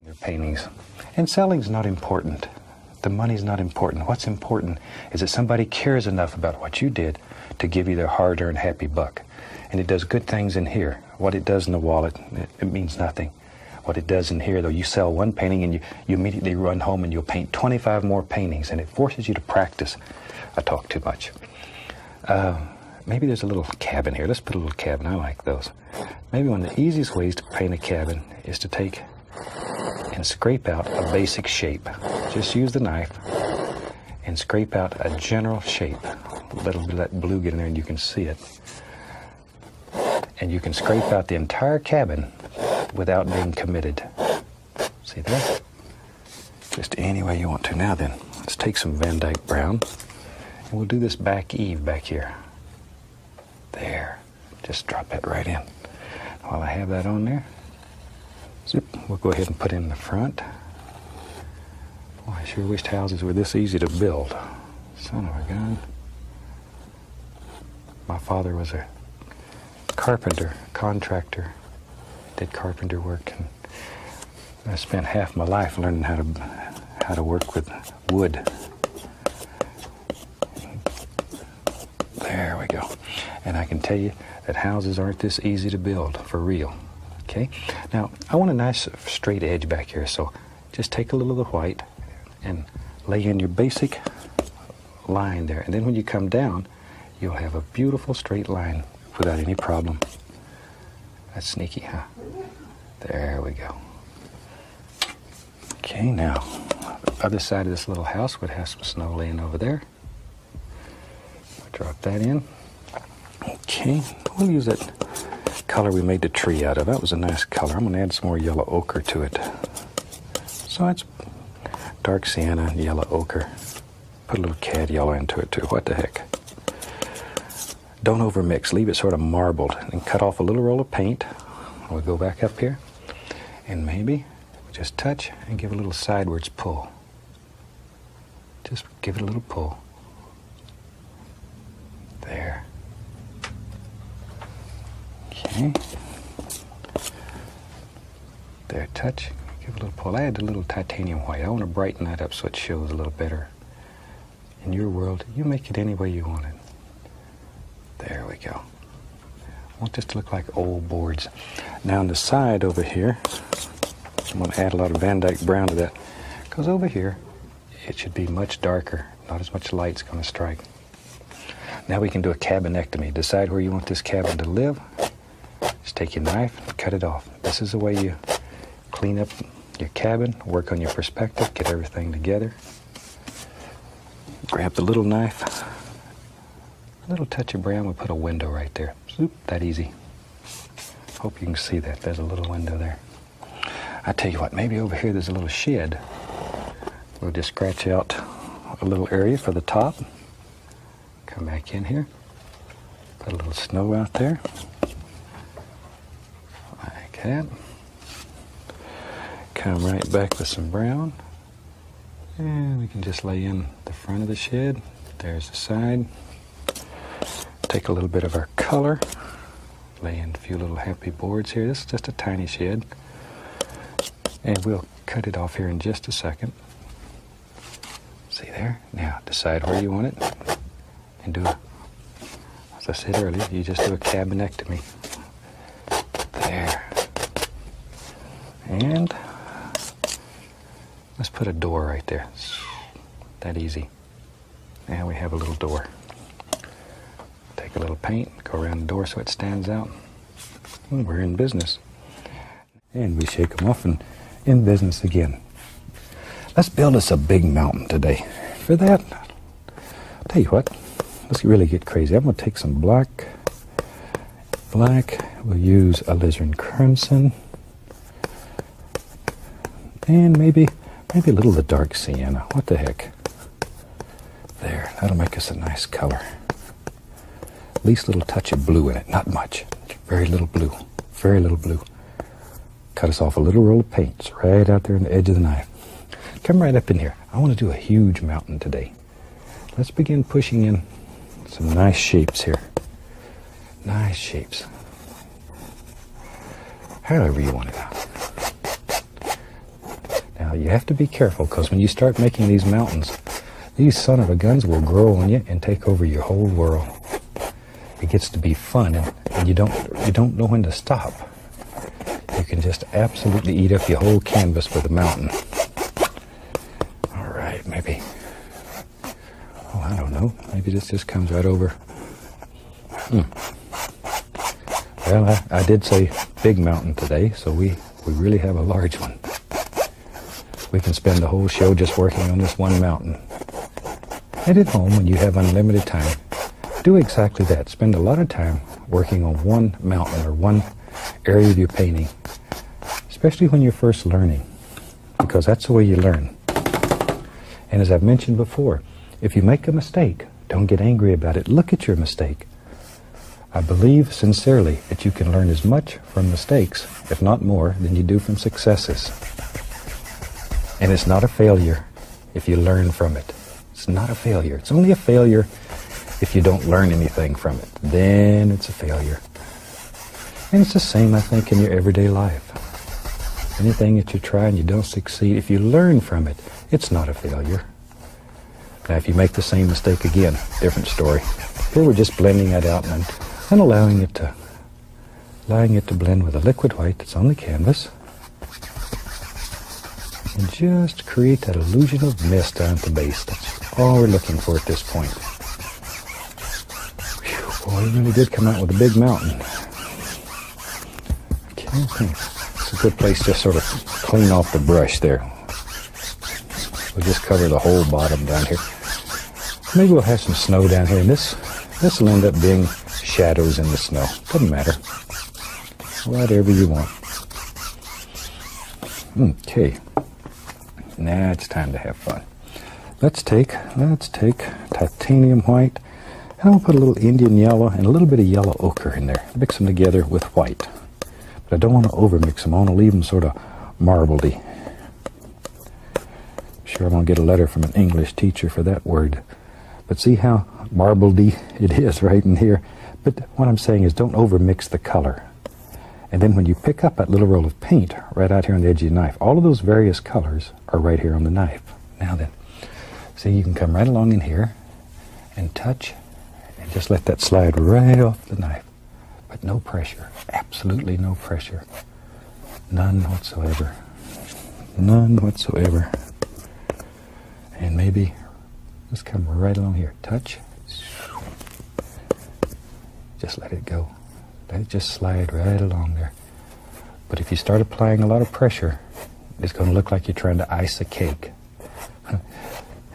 their paintings. And selling's not important. The money's not important. What's important is that somebody cares enough about what you did to give you their hard earned happy buck. And it does good things in here. What it does in the wallet, it, means nothing. What it does in here, though, you sell one painting and you, you immediately run home and you'll paint 25 more paintings, and it forces you to practice. I talk too much. Uh, maybe there's a little cabin here. Let's put a little cabin. I like those. Maybe one of the easiest ways to paint a cabin is to take and scrape out a basic shape. Just use the knife and scrape out a general shape. Let that blue get in there and you can see it. And you can scrape out the entire cabin without being committed. See that? Just any way you want to. Now then, let's take some Van Dyke Brown and we'll do this back Eve, back here. There. Just drop that right in. While I have that on there, we'll go ahead and put in the front. Boy, I sure wish houses were this easy to build. Son of a gun. My father was a carpenter, contractor, did carpenter work, and I spent half my life learning how to how to work with wood. There we go. And I can tell you that houses aren't this easy to build, for real. Okay? Now, I want a nice straight edge back here, so just take a little of the white and lay in your basic line there. And then when you come down, you'll have a beautiful straight line without any problem. That's sneaky, huh? There we go. Okay, now, other side of this little house would have some snow laying over there. Drop that in. Okay, we'll use that color we made the tree out of. That was a nice color. I'm going to add some more yellow ochre to it. So it's dark sienna, yellow ochre. Put a little cad yellow into it too. What the heck? Don't overmix. Leave it sort of marbled. And cut off a little roll of paint. We'll go back up here. And maybe just touch and give a little sideways pull. Just give it a little pull. There. Okay. There, touch. Give a little pull. I had a little titanium white. I want to brighten that up so it shows a little better in your world, you make it any way you want it. There we go. I want this to look like old boards. Now on the side over here, I'm going to add a lot of Van Dyke brown to that because over here it should be much darker. Not as much light's going to strike. Now we can do a cabinectomy. Decide where you want this cabin to live. Just take your knife and cut it off. This is the way you clean up your cabin, work on your perspective, get everything together. Grab the little knife. A little touch of brown, would put a window right there. Zoop, that easy. Hope you can see that. There's a little window there. I tell you what, maybe over here there's a little shed. We'll just scratch out a little area for the top. Come back in here. Put a little snow out there. Like that. Come right back with some brown. And we can just lay in the front of the shed. There's the side. Take a little bit of our color. Lay in a few little happy boards here. This is just a tiny shed. And we'll cut it off here in just a second. See there? Now decide where you want it and do it. As I said earlier, you just do a cabinectomy. There. And let's put a door right there. That easy. Now we have a little door. Take a little paint, go around the door so it stands out. we're in business. And we shake them off and in business again. Let's build us a big mountain today. For that, I'll tell you what, let's really get crazy. I'm going to take some black. Black, we'll use a alizarin crimson. And maybe, maybe a little of the dark sienna. What the heck? There, that'll make us a nice color. Least little touch of blue in it, not much. Very little blue, very little blue. Cut us off a little roll of paints right out there on the edge of the knife. Come right up in here. I want to do a huge mountain today. Let's begin pushing in some nice shapes here. Nice shapes. However you want it Now you have to be careful because when you start making these mountains, these son of a guns will grow on you and take over your whole world. It gets to be fun and, and you don't you don't know when to stop. You can just absolutely eat up your whole canvas for the mountain. All right, maybe. Oh, I don't know. Maybe this just comes right over. Hmm. Well, I, did say big mountain today, so we, we really have a large one. We can spend the whole show just working on this one mountain. Head at home, when you have unlimited time, do exactly that. Spend a lot of time working on one mountain or one area of your painting, especially when you're first learning, because that's the way you learn. And as I've mentioned before, if you make a mistake, don't get angry about it. Look at your mistake. I believe sincerely that you can learn as much from mistakes, if not more, than you do from successes. And it's not a failure if you learn from it. It's not a failure. It's only a failure if you don't learn anything from it. Then it's a failure. And it's the same, I think, in your everyday life. Anything that you try and you don't succeed, if you learn from it, it's not a failure. Now, if you make the same mistake again, different story. Here we're just blending that out and, and allowing it to, allowing it to blend with the liquid white that's on the canvas. And just create that illusion of mist on the base. That's all we're looking for at this point. Whew, boy, we really did come out with a big mountain. Okay, hmm. it's a good place to sort of clean off the brush there. We'll just cover the whole bottom down here. Maybe we'll have some snow down here, and this this will end up being shadows in the snow. Doesn't matter whatever you want. Okay, now it's time to have fun. Let's take, let's take titanium white, and I'll put a little Indian yellow and a little bit of yellow ochre in there. Mix them together with white. But I don't want to over mix them. I want to leave them sort of marbledy. sure I'm going to get a letter from an English teacher for that word. But see how marbledy it is right in here? But what I'm saying is don't overmix the color. And then when you pick up that little roll of paint right out here on the edge of your knife, all of those various colors are right here on the knife. Now then, see you can come right along in here and touch and just let that slide right off the knife. But no pressure, absolutely no pressure. None whatsoever. None whatsoever and maybe just come right along here. Touch. Just let it go. Let it just slide right along there. But if you start applying a lot of pressure, it's going to look like you're trying to ice a cake.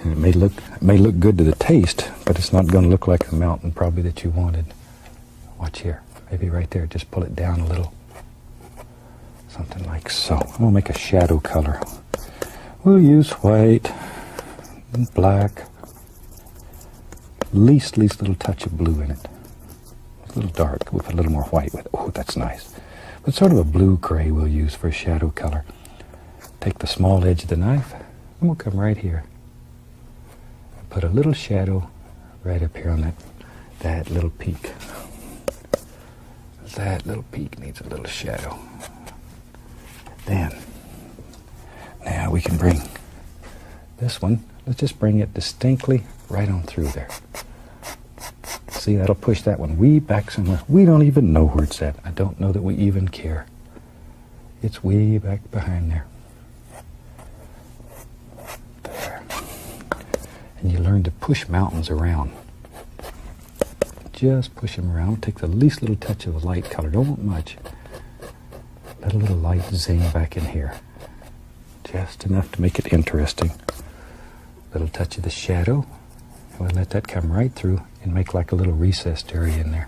And it may look it may look good to the taste, but it's not going to look like the mountain probably that you wanted. Watch here. Maybe right there. Just pull it down a little something like so. We'll make a shadow color. We'll use white, black, least, least little touch of blue in it. a little dark with a little more white with Oh, that's nice. But sort of a blue-gray we'll use for a shadow color. Take the small edge of the knife, and we'll come right here. And put a little shadow right up here on that, that little peak. That little peak needs a little shadow. Then, now we can bring this one, let's just bring it distinctly right on through there. See, that'll push that one way back somewhere. We don't even know where it's at. I don't know that we even care. It's way back behind there. There. And you learn to push mountains around. Just push them around. Take the least little touch of a light color. Don't want much. Let a little light zing back in here. Just enough to make it interesting. Little touch of the shadow. And we'll let that come right through and make like a little recessed area in there.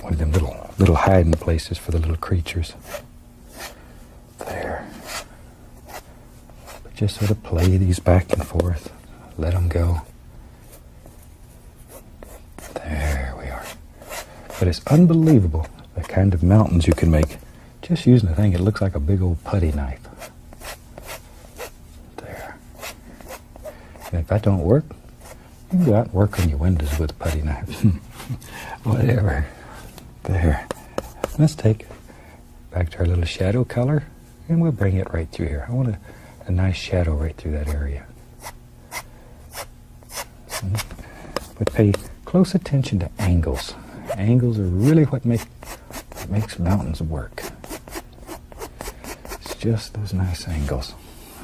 One of them little little hiding places for the little creatures. There. But just sort of play these back and forth. Let them go. There we are. But it's unbelievable the kind of mountains you can make just using a thing It looks like a big old putty knife. There. And if that don't work, you go out and work on your windows with putty knives. Whatever. There. Let's take back to our little shadow color. And we'll bring it right through here. I want a, nice shadow right through that area. Hmm. But pay close attention to angles. Angles are really what make what makes mountains work. It's just those nice angles.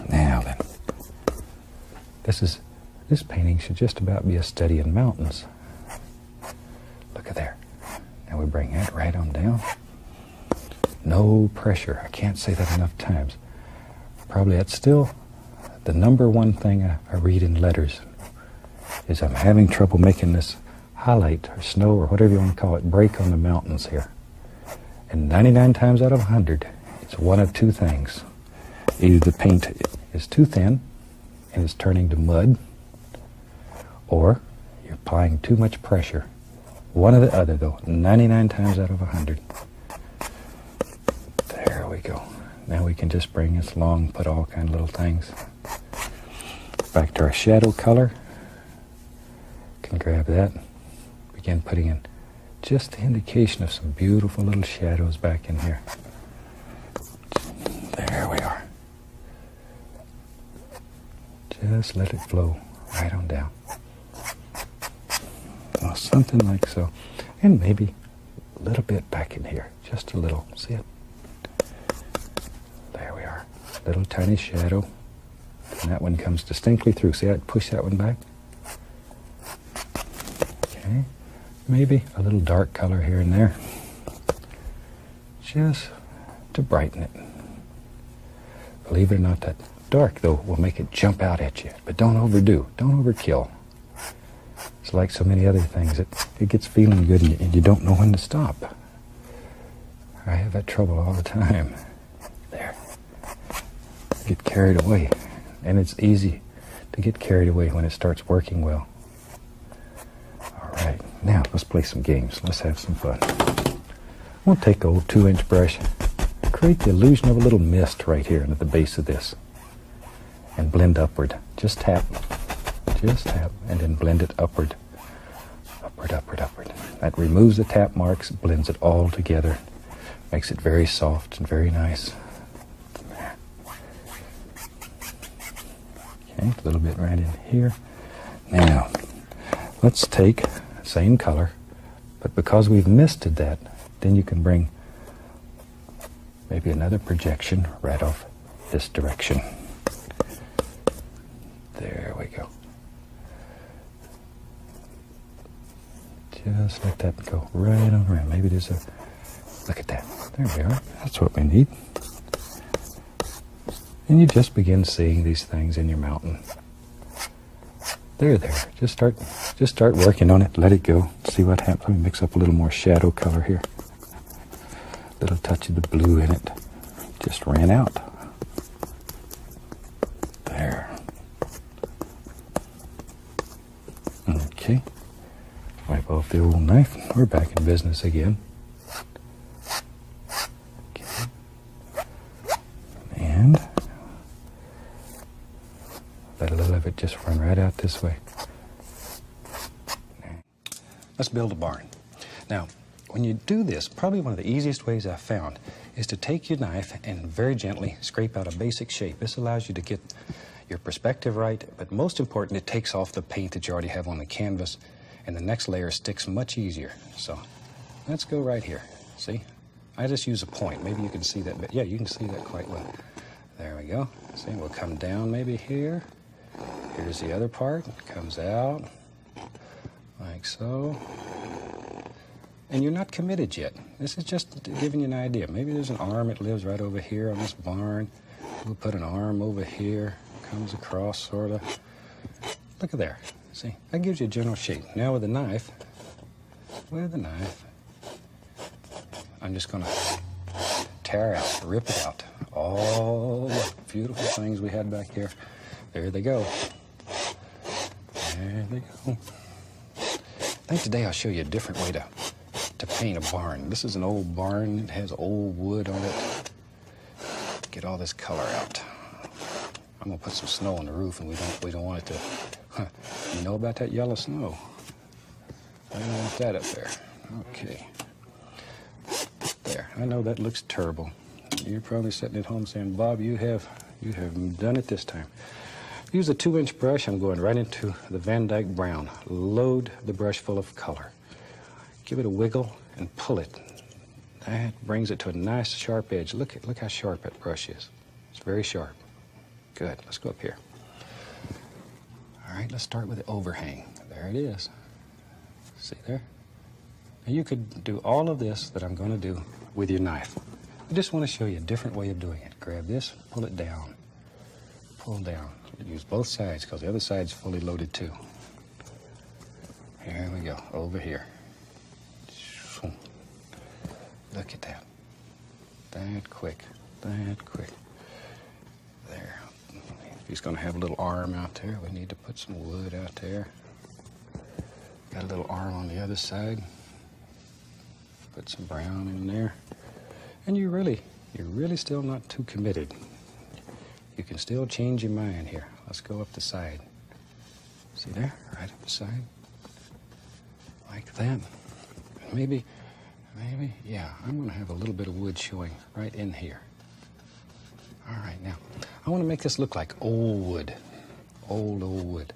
Now then, this is this painting should just about be a study in mountains. Look at there. Now we bring that right on down. No pressure. I can't say that enough times. Probably that's still the number one thing I read in letters is I'm having trouble making this highlight or snow or whatever you want to call it break on the mountains here. And 99 times out of 100, it's one of two things. Either the paint is too thin and it's turning to mud, or you're applying too much pressure. One or the other, though, 99 times out of 100. There we go. Now we can just bring this long, put all kind of little things. Back to our shadow color. Can grab that. Begin putting in just the indication of some beautiful little shadows back in here. There we are. Just let it flow right on down. Or something like so. And maybe a little bit back in here. Just a little. See it? There we are. Little tiny shadow. And that one comes distinctly through. See, I push that one back. Okay. Maybe a little dark color here and there just to brighten it. Believe it or not, that dark, though, will make it jump out at you. But don't overdo. Don't overkill. It's like so many other things. It, it gets feeling good and you, don't know when to stop. I have that trouble all the time. There. I get carried away. And it's easy to get carried away when it starts working well. All right, now let's play some games. Let's have some fun. I'm going to take a old two inch brush, create the illusion of a little mist right here at the base of this, and blend upward. Just tap, just tap, and then blend it upward. Upward, upward, upward. That removes the tap marks, blends it all together, makes it very soft and very nice. Okay, a little bit right in here. Now, let's take same color, but because we've misted that, then you can bring maybe another projection right off this direction. There we go. Just let that go right on around. Maybe there's a, look at that. There we are. That's what we need. And you just begin seeing these things in your mountain. They're there. Just start just start working on it. Let it go. See what happens. Let me mix up a little more shadow color here. Little touch of the blue in it. Just ran out. There. Okay. Wipe off the old knife. We're back in business again. Okay. And let a little of it just run right out this way. Let's build a barn. Now, when you do this, probably one of the easiest ways I've found is to take your knife and very gently scrape out a basic shape. This allows you to get your perspective right, but most important, it takes off the paint that you already have on the canvas and the next layer sticks much easier. So let's go right here. See? I just use a point. Maybe you can see that, but yeah, you can see that quite well. There we go. See, we'll come down maybe here. Here's the other part. comes out like so. And you're not committed yet. This is just giving you an idea. Maybe there's an arm that lives right over here on this barn. We'll put an arm over here, comes across sort of. Look at there. See, that gives you a general shape. Now with a knife, with a knife, I'm just gonna tear out, rip it out. All the beautiful things we had back here. There they go. There they go. I think today I'll show you a different way to, to paint a barn. This is an old barn. It has old wood on it. Get all this color out. I'm gonna put some snow on the roof, and we don't we don't want it to. You know about that yellow snow? I don't want that up there. Okay. There. I know that looks terrible. You're probably sitting at home saying, Bob, you have you have done it this time. Use a two-inch brush. I'm going right into the Van Dyke Brown. Load the brush full of color. Give it a wiggle and pull it. That brings it to a nice sharp edge. Look, at, look how sharp that brush is. It's very sharp. Good, let's go up here. All right, let's start with the overhang. There it is. See there? Now you could do all of this that I'm gonna do with your knife. I just wanna show you a different way of doing it. Grab this, pull it down, pull down. Use both sides because the other side's fully loaded too. Here we go, over here. Look at that. That quick, that quick. There. he's gonna have a little arm out there, we need to put some wood out there. Got a little arm on the other side. Put some brown in there. And you really, you're really still not too committed. You can still change your mind here. Let's go up the side. See there? Right up the side. Like that. Maybe, maybe, yeah, I'm going to have a little bit of wood showing right in here. All right, now, I want to make this look like old wood. Old, old wood.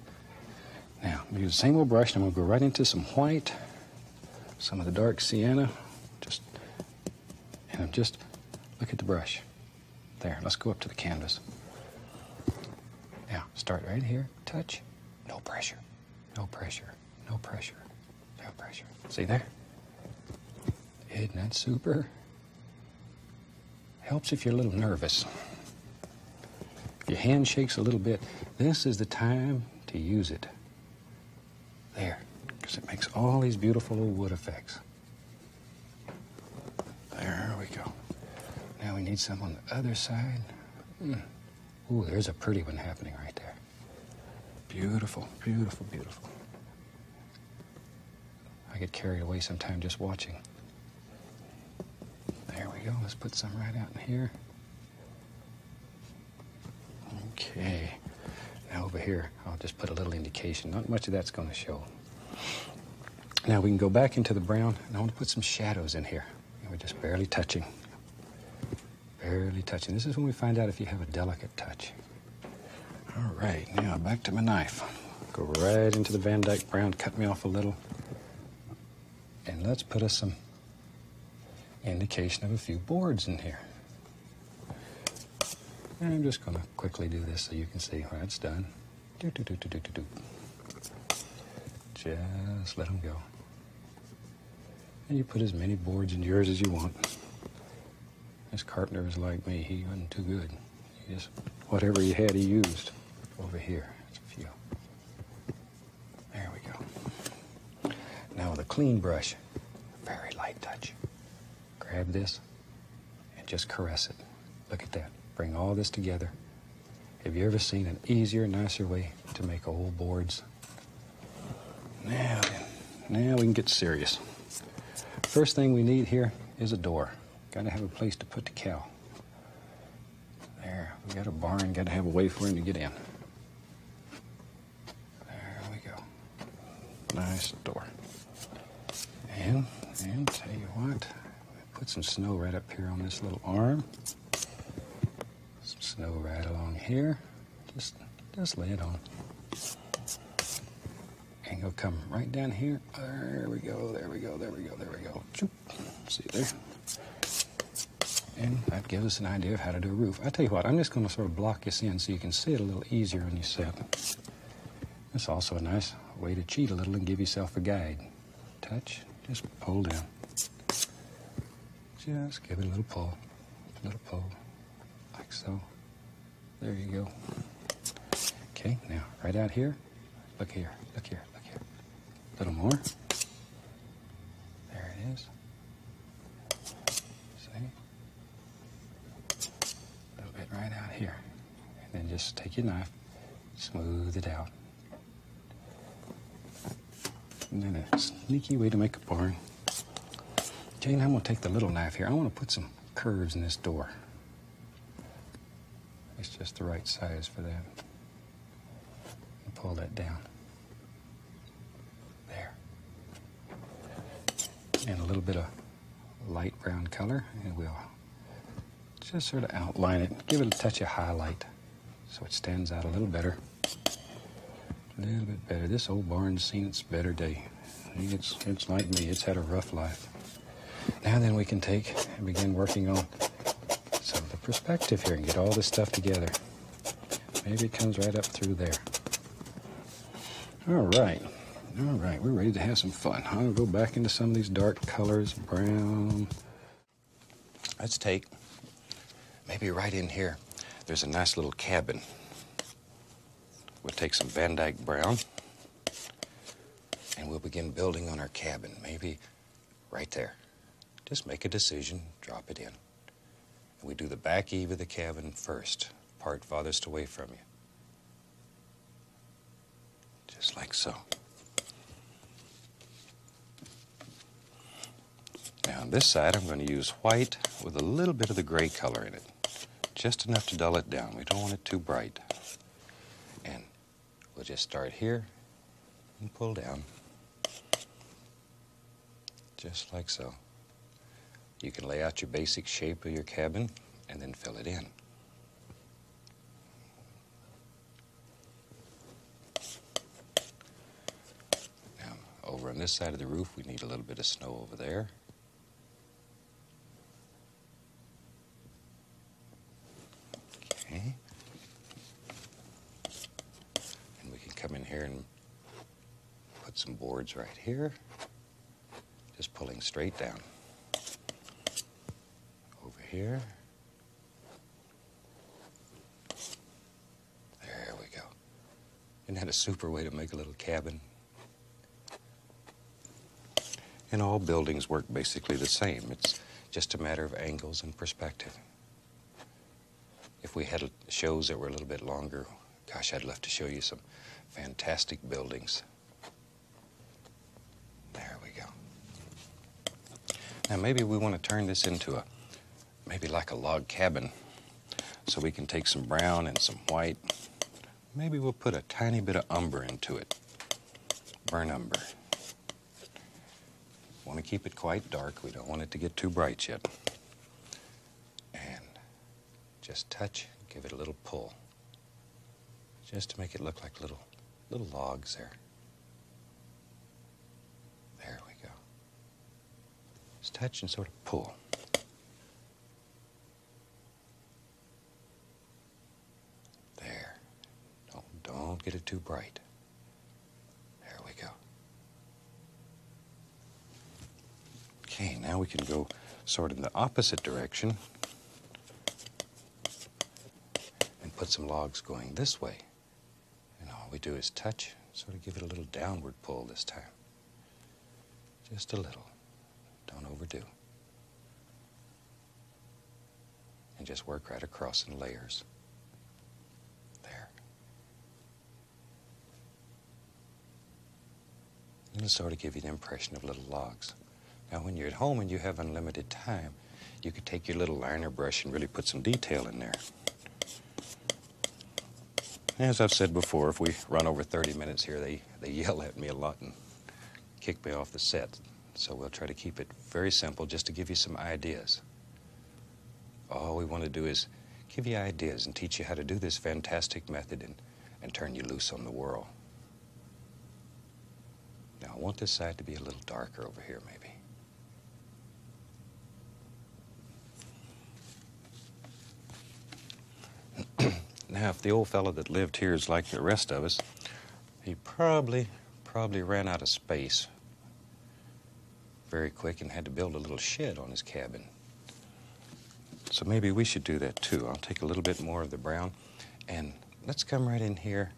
Now, I'm going to use the same old brush, and I'm going to go right into some white, some of the dark sienna. Just and I'm just, look at the brush. There, let's go up to the canvas. Now, start right here, touch, no pressure, no pressure, no pressure, no pressure. See there? Isn't that super? Helps if you're a little nervous. If your hand shakes a little bit, this is the time to use it. There, because it makes all these beautiful wood effects. There we go. Now we need some on the other side. Hmm. Ooh, there's a pretty one happening right there. Beautiful, beautiful, beautiful. I get carried away sometime just watching. There we go. Let's put some right out in here. Okay. Now over here, I'll just put a little indication. Not much of that's going to show. Now we can go back into the brown, and I want to put some shadows in here. we're just barely touching. Barely touching. This is when we find out if you have a delicate touch. All right, now back to my knife. Go right into the Van Dyke brown, cut me off a little. And let's put us some indication of a few boards in here. And I'm just gonna quickly do this so you can see how it's done. Just let them go. And you put as many boards in yours as you want. This carpenter is like me. He wasn't too good. He just, whatever he had, he used over here. a few. There we go. Now with a clean brush, very light touch. Grab this and just caress it. Look at that. Bring all this together. Have you ever seen an easier, nicer way to make whole boards? Now now we can get serious. First thing we need here is a door. Gotta have a place to put the cow. There, we got a barn, gotta have a way for him to get in. There we go. Nice door. And, and tell you what, put some snow right up here on this little arm. Some snow right along here. Just, just lay it on. And you'll come right down here. There we go, there we go, there we go, there we go. See there? And that gives us an idea of how to do a roof. I tell you what, I'm just going to sort of block this in so you can see it a little easier on you set. That's also a nice way to cheat a little and give yourself a guide. Touch, just pull down. Just give it a little pull, little pull, like so. There you go. Okay, now right out here. Look here, look here, look here. A little more. There it is. See? A little bit right out here. And then just take your knife, smooth it out. And then a sneaky way to make a barn. Jane, I'm gonna take the little knife here. I wanna put some curves in this door. It's just the right size for that. pull that down. There. And a little bit of light brown color and we'll just sort of outline it, give it a touch of highlight so it stands out a little better. A little bit better. This old barn's seen its better day. It's, it's like me, it's had a rough life. Now then we can take and begin working on some of the perspective here and get all this stuff together. Maybe it comes right up through there. All right. All right, we're ready to have some fun. I'll go back into some of these dark colors, brown. Let's take maybe right in here. There's a nice little cabin. We'll take some Van Dyke brown and we'll begin building on our cabin, maybe right there. Just make a decision, drop it in. And we do the back eve of the cabin first, part farthest away from you just like so. Now on this side, I'm going to use white with a little bit of the gray color in it, just enough to dull it down. We don't want it too bright. And we'll just start here and pull down, just like so. You can lay out your basic shape of your cabin and then fill it in. Now, over on this side of the roof, we need a little bit of snow over there. Okay. And we can come in here and put some boards right here, just pulling straight down. Over here. There we go. Isn't that a super way to make a little cabin? And all buildings work basically the same. It's just a matter of angles and perspective. If we had shows that were a little bit longer, gosh, I'd love to show you some fantastic buildings there we go. Now maybe we want to turn this into a, maybe like a log cabin. So we can take some brown and some white. Maybe we'll put a tiny bit of umber into it. Burn umber. Want to keep it quite dark. We don't want it to get too bright yet. And just touch, give it a little pull. Just to make it look like little little logs there. There we go. Just touch and sort of pull. There. Don't, don't get it too bright. There we go. Okay, now we can go sort of in the opposite direction and put some logs going this way. And all we do is touch, sort of give it a little downward pull this time. Just a little. Don't overdo. And just work right across in layers. There. It'll sort of give you the impression of little logs. Now, when you're at home and you have unlimited time, you could take your little liner brush and really put some detail in there. As I've said before, if we run over 30 minutes here, they, they yell at me a lot and kick me off the set. So we'll try to keep it very simple just to give you some ideas. All we want to do is give you ideas and teach you how to do this fantastic method and, and turn you loose on the world. Now, I want this side to be a little darker over here, maybe. Now, if the old fellow that lived here is like the rest of us, he probably, probably ran out of space very quick and had to build a little shed on his cabin. So maybe we should do that too. I'll take a little bit more of the brown and let's come right in here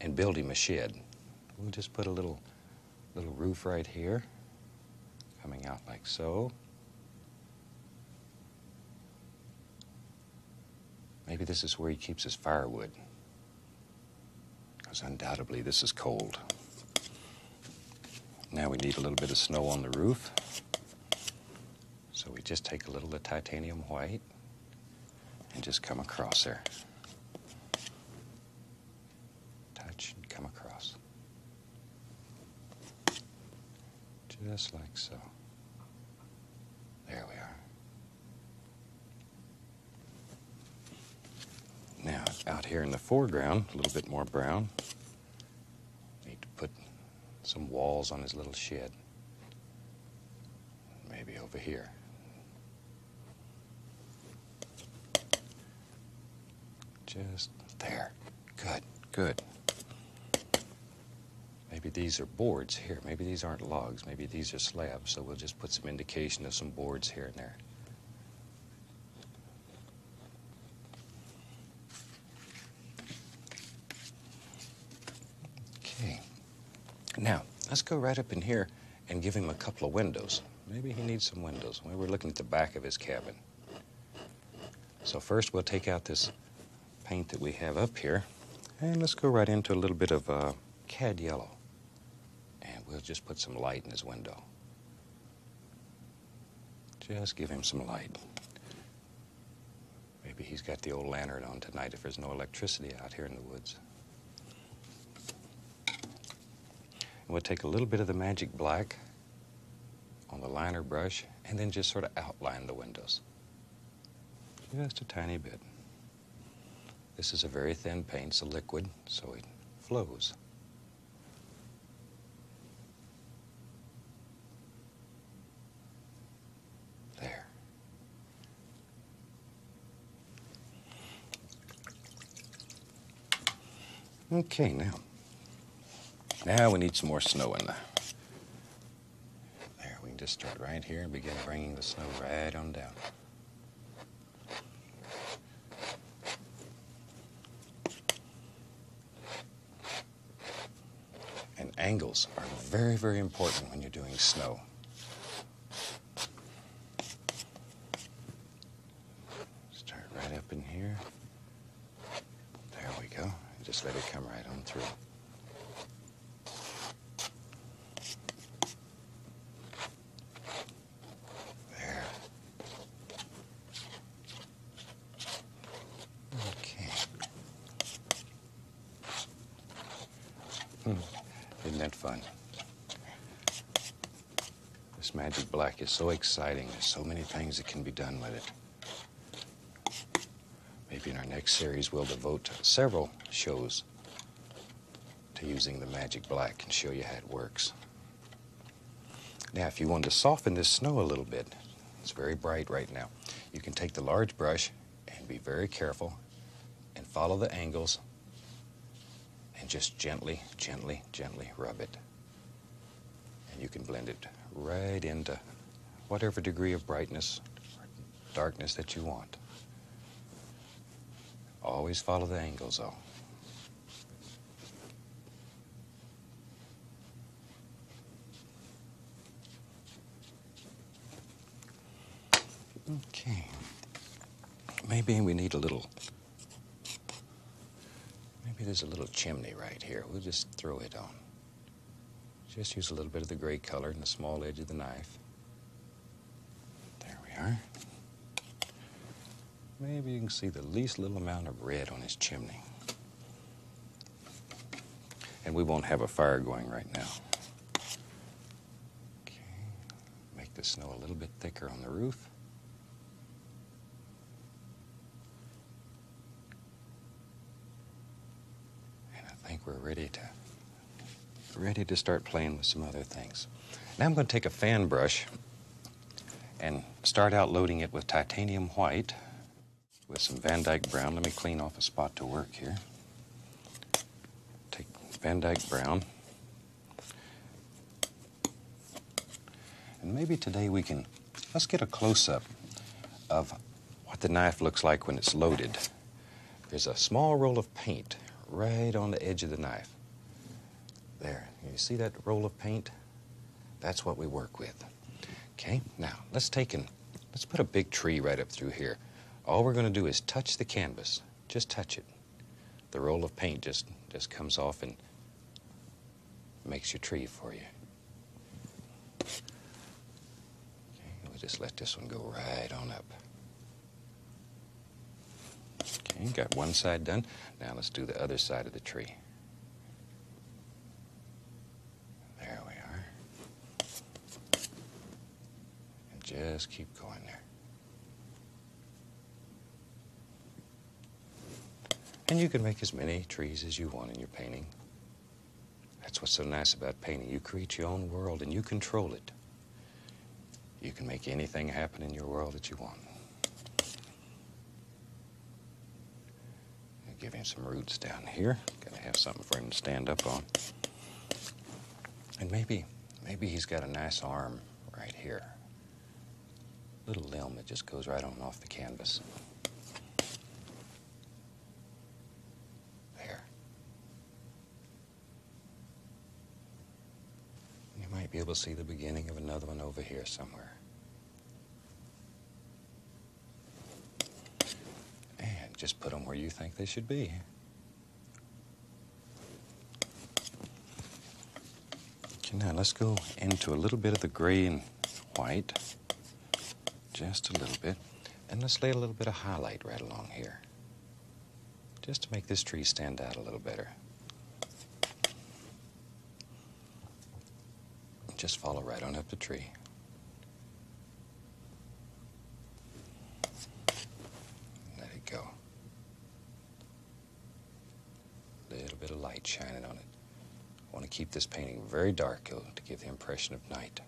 and build him a shed. We'll just put a little, little roof right here, coming out like so. Maybe this is where he keeps his firewood, because undoubtedly this is cold. Now we need a little bit of snow on the roof. So we just take a little of the titanium white and just come across there. Touch and come across. Just like so. There we are. Now, out here in the foreground, a little bit more brown, need to put some walls on his little shed. Maybe over here. Just there. Good, good. Maybe these are boards here. Maybe these aren't logs. Maybe these are slabs. So we'll just put some indication of some boards here and there. Okay, now, let's go right up in here and give him a couple of windows. Maybe he needs some windows. We are looking at the back of his cabin. So first we'll take out this paint that we have up here and let's go right into a little bit of uh, cad yellow. And we'll just put some light in his window. Just give him some light. Maybe he's got the old lantern on tonight if there's no electricity out here in the woods. we'll take a little bit of the magic black on the liner brush and then just sort of outline the windows. Just a tiny bit. This is a very thin paint, it's a liquid, so it flows. There. Okay, now. Now we need some more snow in there. There, we can just start right here and begin bringing the snow right on down. And angles are very, very important when you're doing snow. Start right up in here. There we go. just let it come right on through. There. Okay. Hmm. Isn't that fun? This magic black is so exciting. There's so many things that can be done with it. Maybe in our next series, we'll devote several shows to using the magic black and show you how it works. Now, if you want to soften this snow a little bit, it's very bright right now, you can take the large brush and be very careful and follow the angles and just gently, gently, gently rub it. And you can blend it right into whatever degree of brightness or darkness that you want. Always follow the angles, though. Okay. Maybe we need a little. Maybe there's a little chimney right here. We'll just throw it on. Just use a little bit of the gray color and the small edge of the knife. There we are. Maybe you can see the least little amount of red on his chimney. And we won't have a fire going right now. Okay, make the snow a little bit thicker on the roof. And I think we're ready to ready to start playing with some other things. Now I'm going to take a fan brush and start out loading it with titanium white with some Van Dyke brown. Let me clean off a spot to work here. Take Van Dyke Brown. And maybe today we can, let's get a close-up of what the knife looks like when it's loaded. There's a small roll of paint right on the edge of the knife. There, you see that roll of paint? That's what we work with. Okay, now let's take and let's put a big tree right up through here. All we're gonna do is touch the canvas. Just touch it. The roll of paint just, just comes off and makes your tree for you. Okay, we just let this one go right on up. Okay, got one side done. Now let's do the other side of the tree. There we are. And just keep going there. And you can make as many trees as you want in your painting. That's what's so nice about painting. You create your own world and you control it. You can make anything happen in your world that you want. give him some roots down here. Gotta have something for him to stand up on. And maybe Maybe he's got a nice arm right here. Little limb that just goes right on off the canvas. There. You might be able to see the beginning of another one over here somewhere. And just put them where you think they should be. Okay, now let's go into a little bit of the gray and white, just a little bit. And let's lay a little bit of highlight right along here, just to make this tree stand out a little better. Just follow right on up the tree. Let it go. A little bit of light shining on it. I want to keep this painting very dark uh, to give the impression of night.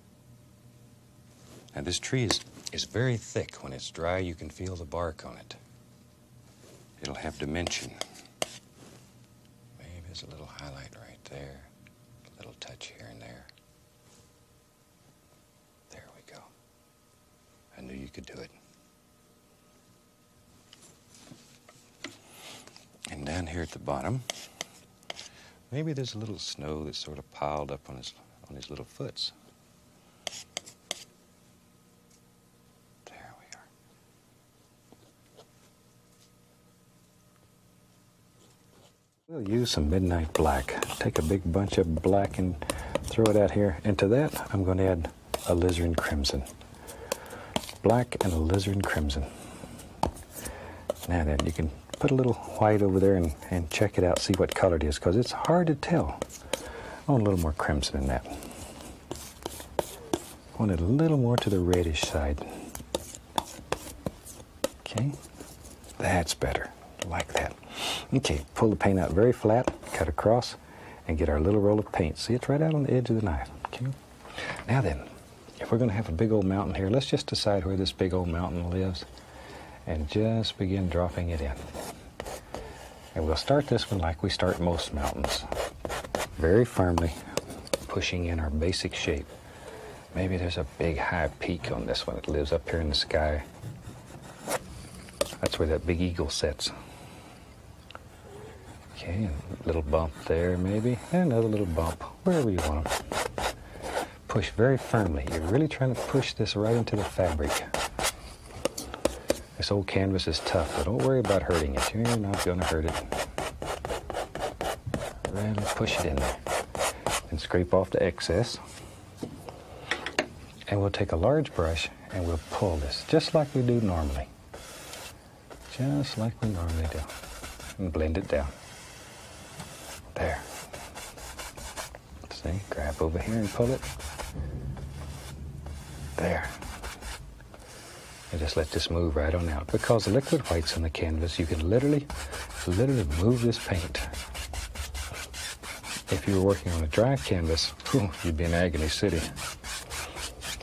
Now this tree is, is very thick. When it's dry, you can feel the bark on it. It'll have dimension. Maybe there's a little highlight right there, a little touch here and there. There we go. I knew you could do it. And down here at the bottom, maybe there's a little snow that's sort of piled up on his on his little foots. There we are. We'll use some midnight black. Take a big bunch of black and throw it out here. And to that, I'm going to add a alizarin crimson. Black and a alizarin crimson. Now then, you can put a little white over there and, check it out, see what color it is, because it's hard to tell. I want a little more crimson than that. I want it a little more to the reddish side. Okay, that's better, like that. Okay, pull the paint out very flat, cut across, and get our little roll of paint. See, it's right out on the edge of the knife, okay? Now then, if we're gonna have a big old mountain here, let's just decide where this big old mountain lives and just begin dropping it in. And we'll start this one like we start most mountains, very firmly pushing in our basic shape. Maybe there's a big high peak on this one that lives up here in the sky. That's where that big eagle sits. Okay, a little bump there maybe, and another little bump, wherever you want them. Push very firmly. You're really trying to push this right into the fabric. This old canvas is tough, but don't worry about hurting it. You're not going to hurt it. Then push it in there. And scrape off the excess. And we'll take a large brush and we'll pull this, just like we do normally. Just like we normally do. And blend it down. There. See, grab over here and pull it. There. And just let this move right on out. Because the liquid white's on the canvas, you can literally, literally move this paint if you were working on a dry canvas, you'd be in agony city.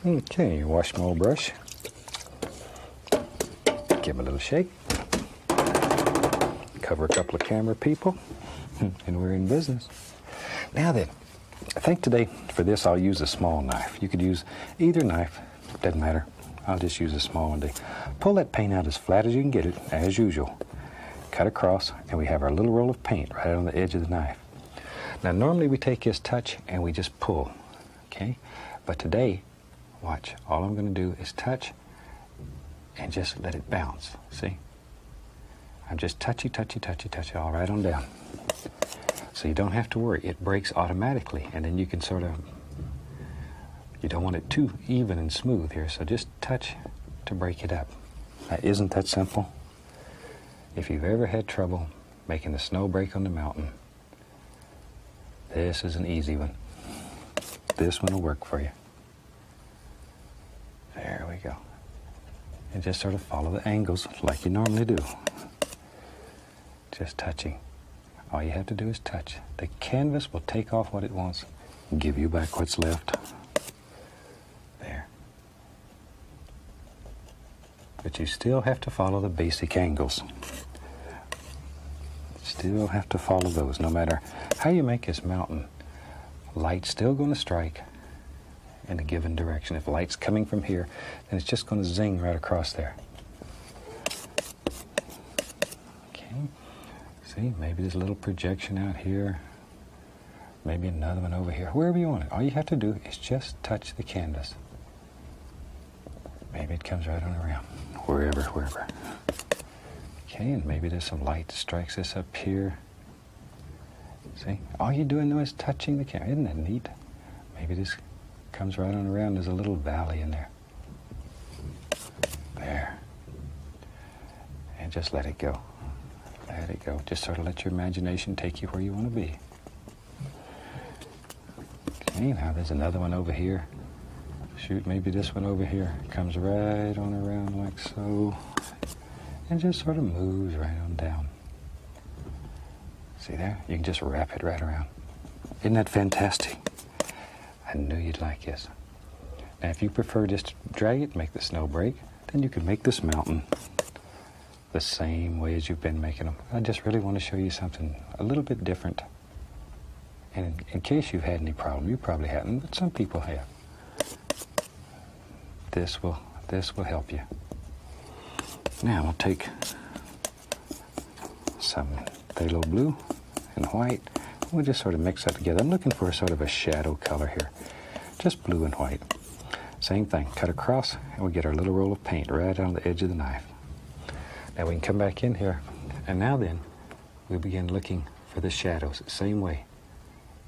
Okay, wash my old brush. Give it a little shake. Cover a couple of camera people, and we're in business. Now then, I think today for this I'll use a small knife. You could use either knife, doesn't matter. I'll just use a small one today. Pull that paint out as flat as you can get it, as usual. Cut across, and we have our little roll of paint right on the edge of the knife. Now, normally we take this touch and we just pull, okay? But today, watch, all I'm going to do is touch and just let it bounce, see? I'm just touchy, touchy, touchy, touchy, all right on down. So you don't have to worry. It breaks automatically, and then you can sort of, you don't want it too even and smooth here, so just touch to break it up. That isn't that simple. If you've ever had trouble making the snow break on the mountain, this is an easy one. This one will work for you. There we go. And just sort of follow the angles like you normally do. Just touching. All you have to do is touch. The canvas will take off what it wants, give you back what's left. There. But you still have to follow the basic angles. Still have to follow those, no matter how you make this mountain. Light's still going to strike in a given direction. If light's coming from here, then it's just going to zing right across there. Okay, see, maybe there's a little projection out here maybe another one over here, wherever you want it. All you have to do is just touch the canvas. Maybe it comes right on around, wherever, wherever. Okay, and maybe there's some light strikes this up here. See, all you're doing though is touching the canvas. Isn't that neat? Maybe this comes right on around. There's a little valley in there. There and just let it go. Let it go. Just sort of let your imagination take you where you want to be. Okay, now there's another one over here. Shoot, maybe this one over here comes right on around like so and just sort of moves right on down. See there? You can just wrap it right around. Isn't that fantastic? I knew you'd like this. Now, if you prefer just drag it, make the snow break, then you can make this mountain the same way as you've been making them. I just really want to show you something a little bit different. And in case you've had any problem, you probably haven't, but some people have. This will, this will help you. Now we'll take some phthalo blue and white. We'll just sort of mix that together. I'm looking for sort of a shadow color here just blue and white. Same thing, cut across, and we get our little roll of paint right on the edge of the knife. Now we can come back in here, and now then, we begin looking for the shadows, same way,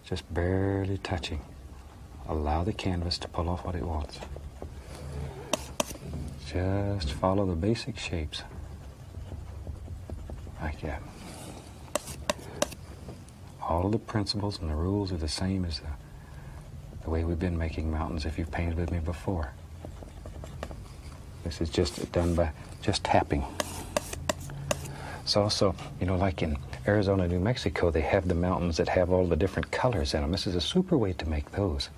just barely touching. Allow the canvas to pull off what it wants. Just follow the basic shapes, like that. All the principles and the rules are the same as the, the way we've been making mountains if you've painted with me before. This is just done by just tapping. It's also, you know, like in Arizona, New Mexico, they have the mountains that have all the different colors in them. This is a super way to make those.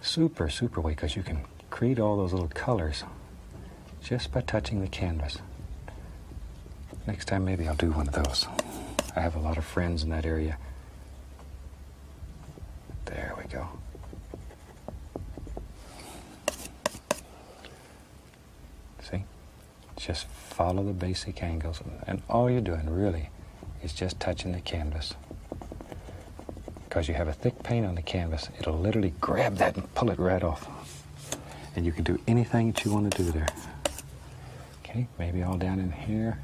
Super, super way, because you can create all those little colors just by touching the canvas. Next time, maybe I'll do one of those. I have a lot of friends in that area. There we go. See? Just follow the basic angles, and all you're doing really is just touching the canvas. Because you have a thick paint on the canvas, it'll literally grab that and pull it right off. And you can do anything that you want to do there. Okay, maybe all down in here.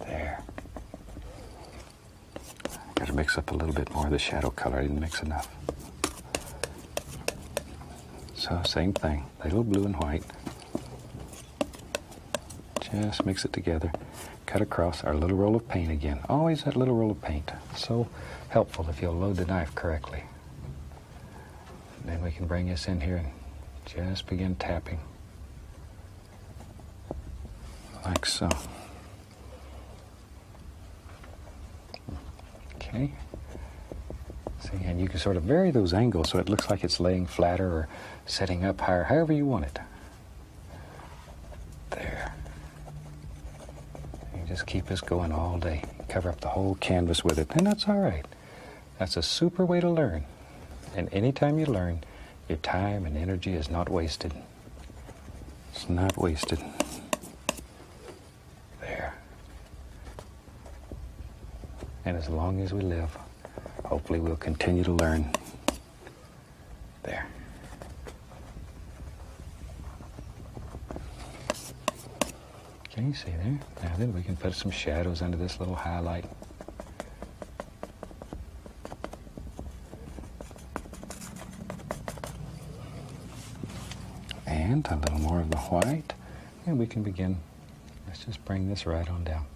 There. Gotta mix up a little bit more of the shadow color. I didn't mix enough. So same thing, a little blue and white. Just mix it together cut across our little roll of paint again. Always that little roll of paint. So helpful if you'll load the knife correctly. then we can bring this in here and just begin tapping. Like so. Okay. See, and you can sort of vary those angles so it looks like it's laying flatter or setting up higher, however you want it. There. You just keep us going all day. Cover up the whole canvas with it, and that's all right. That's a super way to learn. And anytime you learn, your time and energy is not wasted. It's not wasted. There. And as long as we live, hopefully we'll continue to learn. There. Can you see there? Now then we can put some shadows under this little highlight. And a little more of the white. And we can begin. Let's just bring this right on down.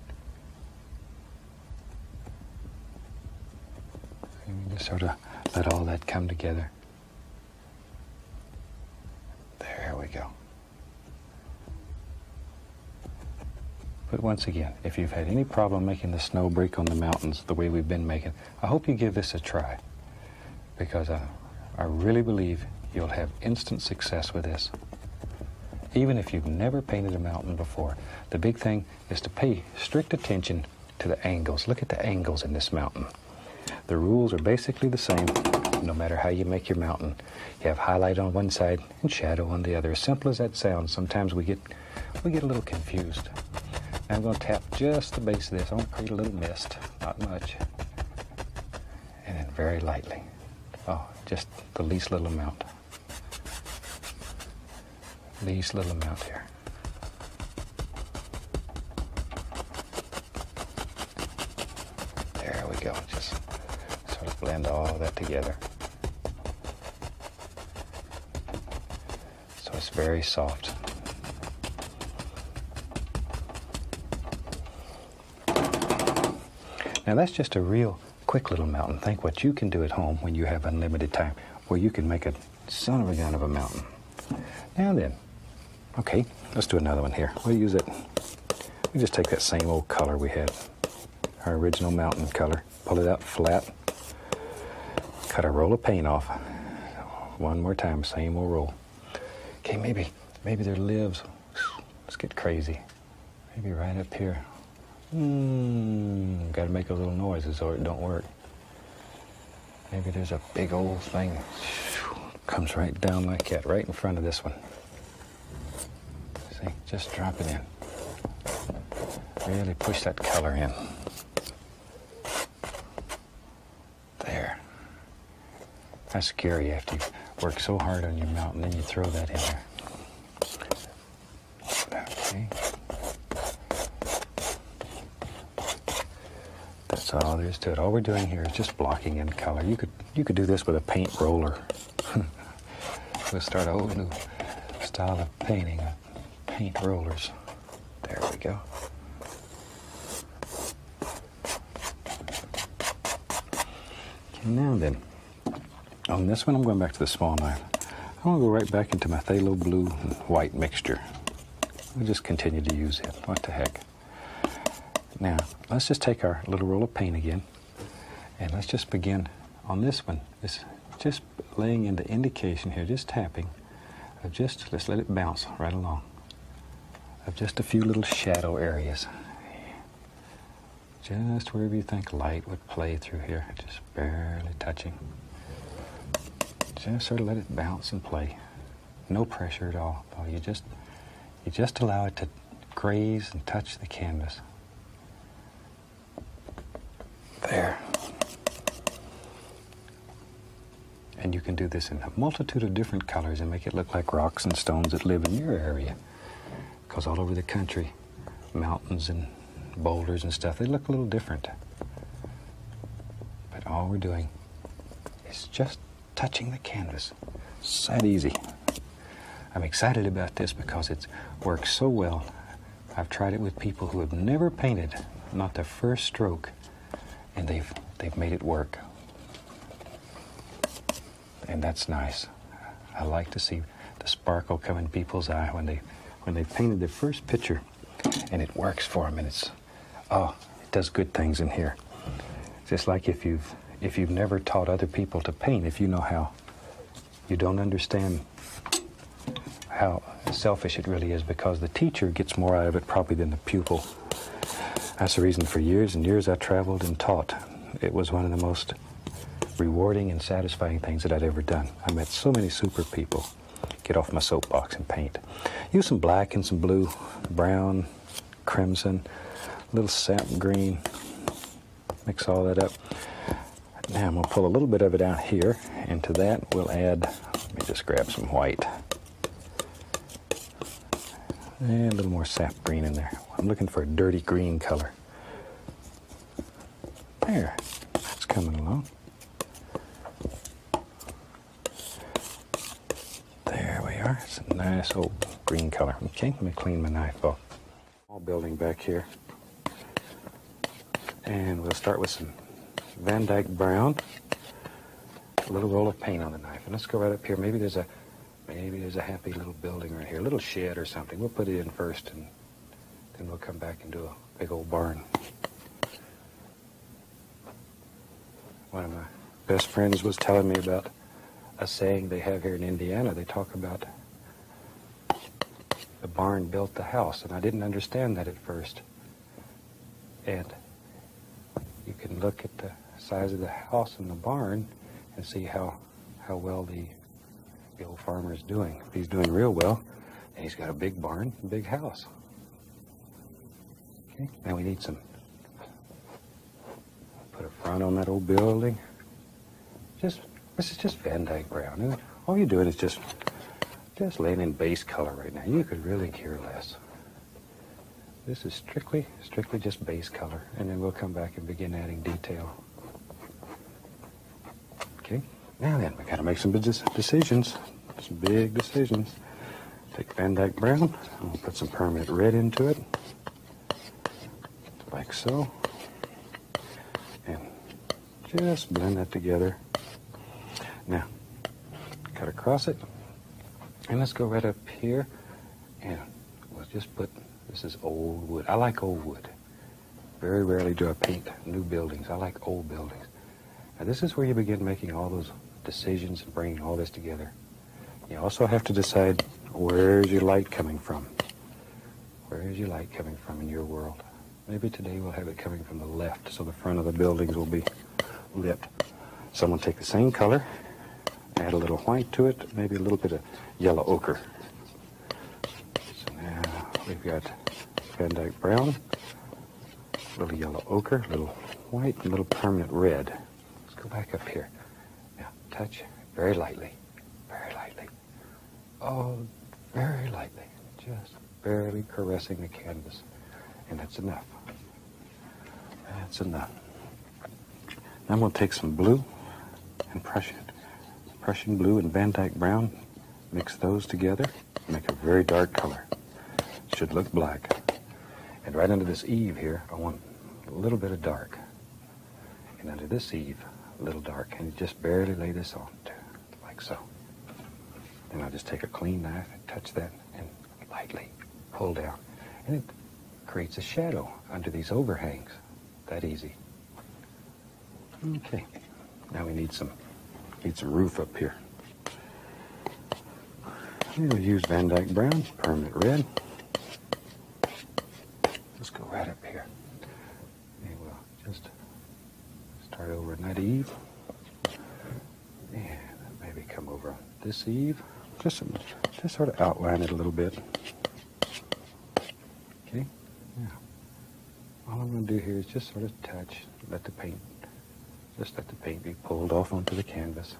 just sort of let all that come together. There we go. But once again, if you've had any problem making the snow break on the mountains the way we've been making, I hope you give this a try because I really believe you'll have instant success with this. Even if you've never painted a mountain before, the big thing is to pay strict attention to the angles. Look at the angles in this mountain. The rules are basically the same no matter how you make your mountain. You have highlight on one side and shadow on the other. As simple as that sounds, sometimes we get we get a little confused. I'm going to tap just the base of this. I am going to create a little mist, not much. And then very lightly. Oh, just the least little amount these little amount here. There we go. Just sort of blend all that together. So it's very soft. Now that's just a real quick little mountain. Think what you can do at home when you have unlimited time, where you can make a son of a gun of a mountain. Now then, okay, let's do another one here. We'll use it. We just take that same old color we had, our original mountain color, pull it out flat, cut a roll of paint off. One more time, same old roll. Okay, maybe, maybe there lives. Let's get crazy. Maybe right up here. Mmm, gotta make a little noises or it don't work. Maybe there's a big old thing. Comes right down like that, right in front of this one. See, just drop it in. Really push that color in. There. That's scary after you work so hard on your mount and then you throw that in there. Okay. That's all there is to it. All we're doing here is just blocking in color. You could you could do this with a paint roller. we'll start a whole new style of painting, uh, paint rollers. There we go. Okay, now then, on this one I'm going back to the small knife. I'm going to go right back into my Thalo blue white mixture we just continue to use it. What the heck? Now, let's just take our little roll of paint again, and let's just begin on this one. just laying into indication here, just tapping, of just, let's let it bounce right along, of just a few little shadow areas. Just wherever you think light would play through here, just barely touching. Just sort of let it bounce and play. No pressure at all, oh, You just, you just allow it to graze and touch the canvas. There. And you can do this in a multitude of different colors and make it look like rocks and stones that live in your area. Because all over the country, mountains and boulders and stuff, they look a little different. But all we're doing is just touching the canvas. It's that easy. I'm excited about this because it's worked so well. I've tried it with people who have never painted, not their first stroke, and they've they've made it work. And that's nice. I like to see the sparkle come in people's eye when they when they painted their first picture and it works for them and it's oh, it does good things in here. Just like if you've if you've never taught other people to paint, if you know how, you don't understand how selfish it really is because the teacher gets more out of it probably than the pupil. That's the reason for years and years I traveled and taught. It was one of the most rewarding and satisfying things that I'd ever done. I met so many super people get off my soapbox and paint. Use some black and some blue, brown, crimson, a little sap green. Mix all that up. Now I'm going to pull a little bit of it out here, and to that we'll add, let me just grab some white. And a little more sap green in there. I'm looking for a dirty green color. There, that's coming along. There we are. It's a nice old green color. Okay, let me clean my knife off. Small building back here. And we'll start with some Van Dyke brown. A little roll of paint on the knife. And let's go right up here. Maybe there's a maybe there's a happy little building right here, a little shed or something. We'll put it in first and then we'll come back and do a big old barn. One of my best friends was telling me about a saying they have here in Indiana. They talk about the barn built the house, and I didn't understand that at first. And you can look at the size of the house and the barn and see how, how well the, the old farmer is doing. If he's doing real well, and he's got a big barn, big house. Okay, now we need some. Put a front on that old building. Just, this is just Van Dyke brown. And all you're doing is just, just laying in base color right now. You could really care less. This is strictly, strictly just base color, and then we'll come back and begin adding detail. Okay, now then, we gotta make some decisions, some big decisions. Take Van Dyke Brown, and put some permanent red into it, like so. And just blend that together. Now, cut across it, and let's go right up here, and we'll just put, this is old wood. I like old wood. Very rarely do I paint new buildings. I like old buildings. Now, this is where you begin making all those decisions and bringing all this together. You also have to decide where's your light coming from? Where is your light coming from in your world? Maybe today we'll have it coming from the left, so the front of the buildings will be lit. Someone take the same color, add a little white to it, maybe a little bit of yellow ochre. So now we've got Van Dyke Brown, Little yellow ochre, little white, and little permanent red. Let's go back up here. Now, touch very lightly, very lightly. Oh, very lightly, just barely caressing the canvas. And that's enough. That's enough. Now I'm going to take some blue and Prussian, Prussian blue and Van Dyke brown, mix those together. Make a very dark color. Should look black. And right under this eave here, I want a little bit of dark. And under this eave, a little dark. And just barely lay this on, too, like so. Then I'll just take a clean knife and touch that and lightly pull down. And it creates a shadow under these overhangs. That easy. Okay. Now we need some need some roof up here. We'll use Van Dyke Brown's permanent red. Let's go right up here. we'll just start over at night eve. And maybe come over this eve. Just, just sort of outline it a little bit. Okay? Now, all I'm going to do here is just sort of touch, let the paint just let the paint be pulled off onto the canvas.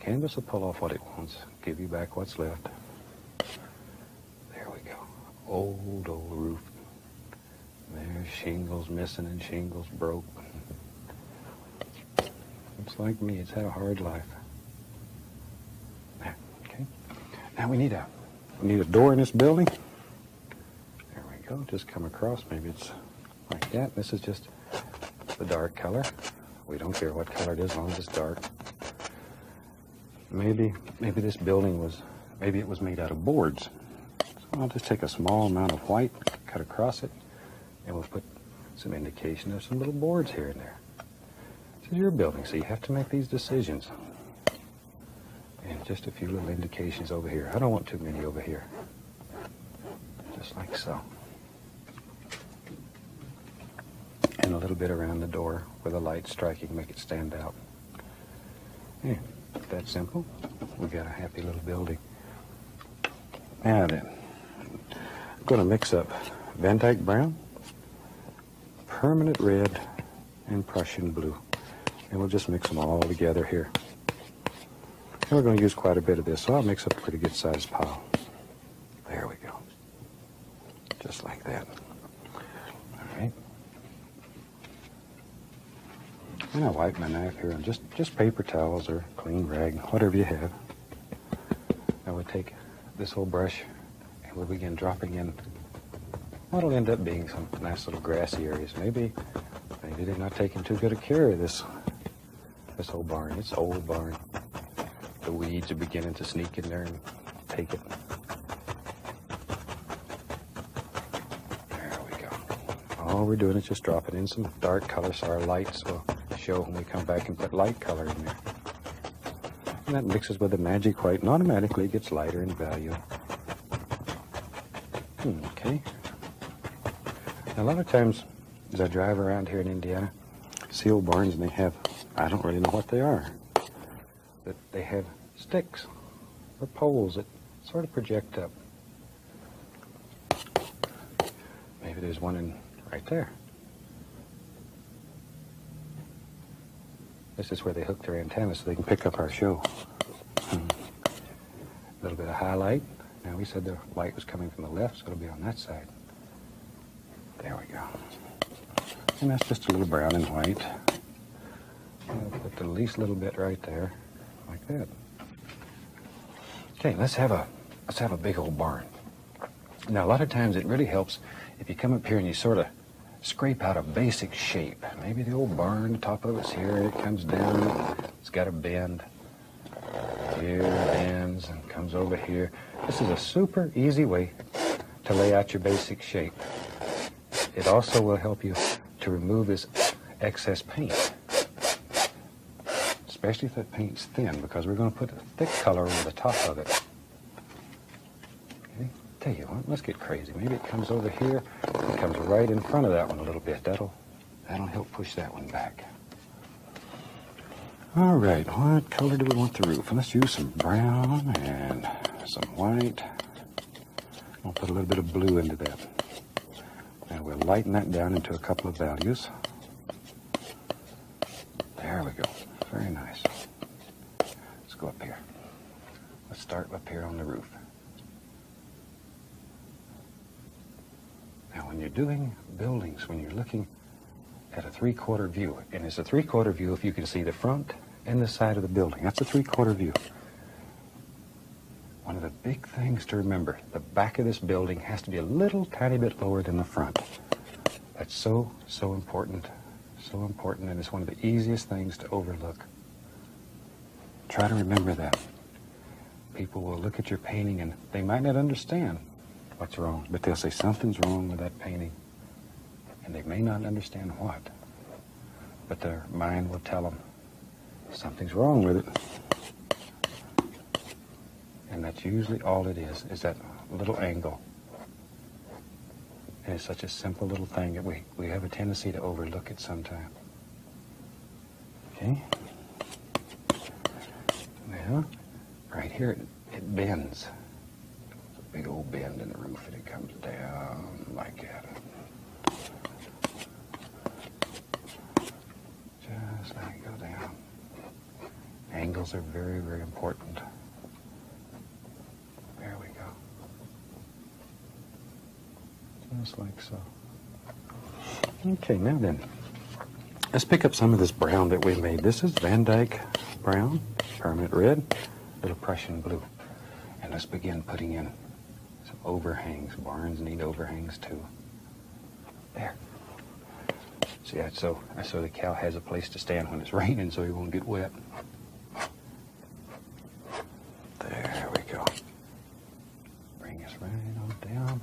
Canvas will pull off what it wants, give you back what's left. There we go. Old, old roof. There's shingles missing and shingles broke. It's like me, it's had a hard life. okay. Now we need a we need a door in this building. There we go. Just come across. Maybe it's like that. This is just the dark color. We don't care what color it is, as long as it's dark. Maybe, maybe this building was, maybe it was made out of boards. So I'll just take a small amount of white, cut across it, and we'll put some indication of some little boards here and there. This is your building, so you have to make these decisions. And just a few little indications over here. I don't want too many over here. Just like so. And a little bit around the door where the light striking make it stand out. Yeah, that simple. We got a happy little building. Now then, I'm going to mix up Van Dyke Brown, Permanent Red, and Prussian Blue. And we'll just mix them all together here. And we're going to use quite a bit of this, so I'll mix up a pretty good-sized pile. There we go. Just like that. All right. And I wipe my knife here on just, just paper towels or clean rag, whatever you have. I would take this whole brush and we begin dropping in what'll end up being some nice little grassy areas. Maybe, maybe they're not taking too good a care of this this old barn, This old barn. The weeds are beginning to sneak in there and take it. There we go. All we're doing is just dropping in some dark colors, so our lights will show when we come back and put light color in there. And that mixes with the magic white and automatically gets lighter in value. Hmm, okay. A lot of times as I drive around here in Indiana, see old barns and they have, I don't really know what they are, but they have sticks or poles that sort of project up. Maybe there's one in right there. This is where they hook their antennas so they can pick up our show. Hmm. A little bit of highlight. Now we said the light was coming from the left, so it'll be on that side. There we go. And that's just a little brown and white. put the least little bit right there, like that. Okay, let's have a let's have a big old barn. Now a lot of times it really helps if you come up here and you sort of scrape out a basic shape. Maybe the old barn, top of it's here, and it comes down, it's got a bend. Here bends and comes over here. This is a super easy way to lay out your basic shape. It also will help you to remove this excess paint, especially if the paint's thin, because we're going to put a thick color over the top of it. Okay. Tell you what, let's get crazy. Maybe it comes over here and comes right in front of that one a little bit. That'll That'll help push that one back. All right, what color do we want the roof? let's use some brown and some white. I'll put a little bit of blue into that. And we'll lighten that down into a couple of values. There we go. Very nice. Let's go up here. Let's start up here on the roof. Now, when you're doing buildings, when you're looking at a three-quarter view, and it's a three-quarter view if you can see the front and the side of the building. That's a three-quarter view. One of the big things to remember, the back of this building has to be a little tiny bit lower than the front. That's so, so important, so important, and it's one of the easiest things to overlook. Try to remember that people will look at your painting and they might not understand what's wrong, but they'll say something's wrong with that painting. And they may not understand what, but their mind will tell them something's wrong with it. And that's usually all it is, is that little angle. And it's such a simple little thing that we, we have a tendency to overlook it sometimes. Okay. Now, right here, it, bends. a big old bend in the roof, and it comes down like that. Just like it go down. Angles are very, very important. There we go. Just like so. Okay, now then, let's pick up some of this brown that we made. This is Van Dyke brown, permanent red, little Prussian blue. And let's begin putting in some overhangs. Barns need overhangs too. There. See, so, so the cow has a place to stand when it's raining so he won't get wet. There we go. Bring us right on down.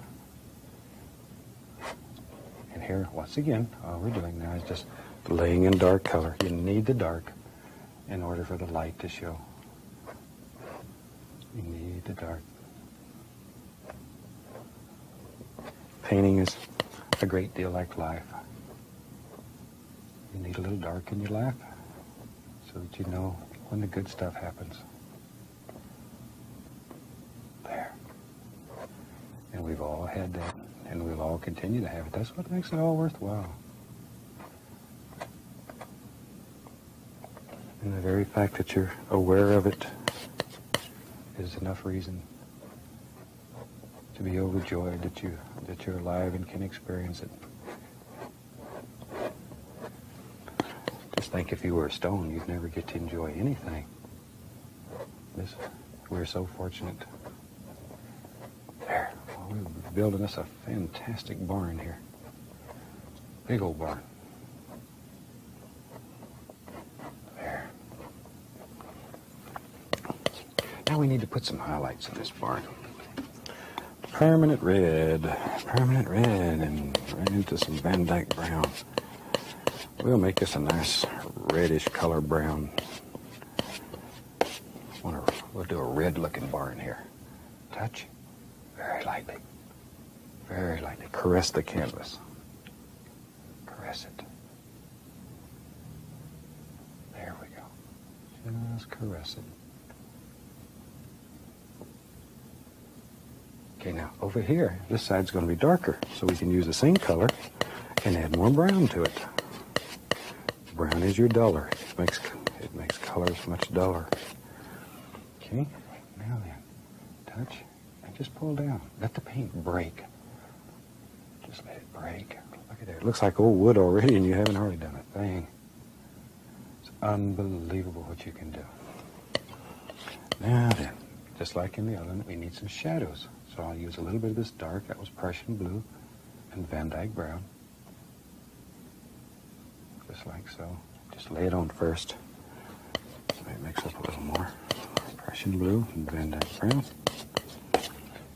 And here, once again, all we're doing now is just laying in dark color. You need the dark in order for the light to show. You need the dark. Painting is a great deal like life. You need a little dark in your life so that you know when the good stuff happens. There. And we've all had that, and we'll all continue to have it. That's what makes it all worthwhile. And the very fact that you're aware of it is enough reason to be overjoyed that you that you're alive and can experience it. Just think if you were a stone, you'd never get to enjoy anything. we're so fortunate. There, we're building us a fantastic barn here. Big old barn. There. Now we need to put some highlights in this barn. Permanent red, permanent red, and right into some Van Dyke brown. We'll make this a nice reddish color brown. I Wanna, we'll do a red looking bar in here. Touch, very lightly, very lightly. Caress the canvas. Caress it. There we go. Just caress it. Okay, now over here, this side's going to be darker, so we can use the same color and add more brown to it. Brown is your duller. It makes, it makes colors much duller. Okay, now then, touch and just pull down. Let the paint break. Just let it break. Look at that. It looks like old wood already, and you haven't already done a thing. It's unbelievable what you can do. Now then, just like in the element, we need some shadows. So I'll use a little bit of this dark, that was Prussian blue, and Van Dyke brown. Just like so. Just lay it on first. So it mix up a little more. Prussian blue and Van Dyke brown.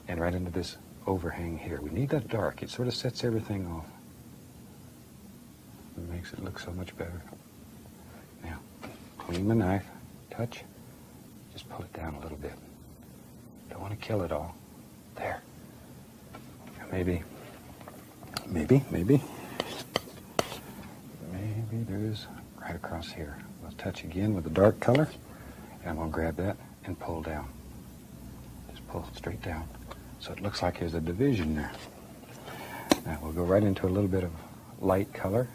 And right into this overhang here. We need that dark. It sort of sets everything off. It makes it look so much better. Now, clean the knife, touch, just pull it down a little bit. Don't want to kill it all. There. Maybe, maybe, maybe, maybe there's right across here. We'll touch again with the dark color, and we'll grab that and pull down. Just pull straight down. So it looks like there's a division there. Now we'll go right into a little bit of light color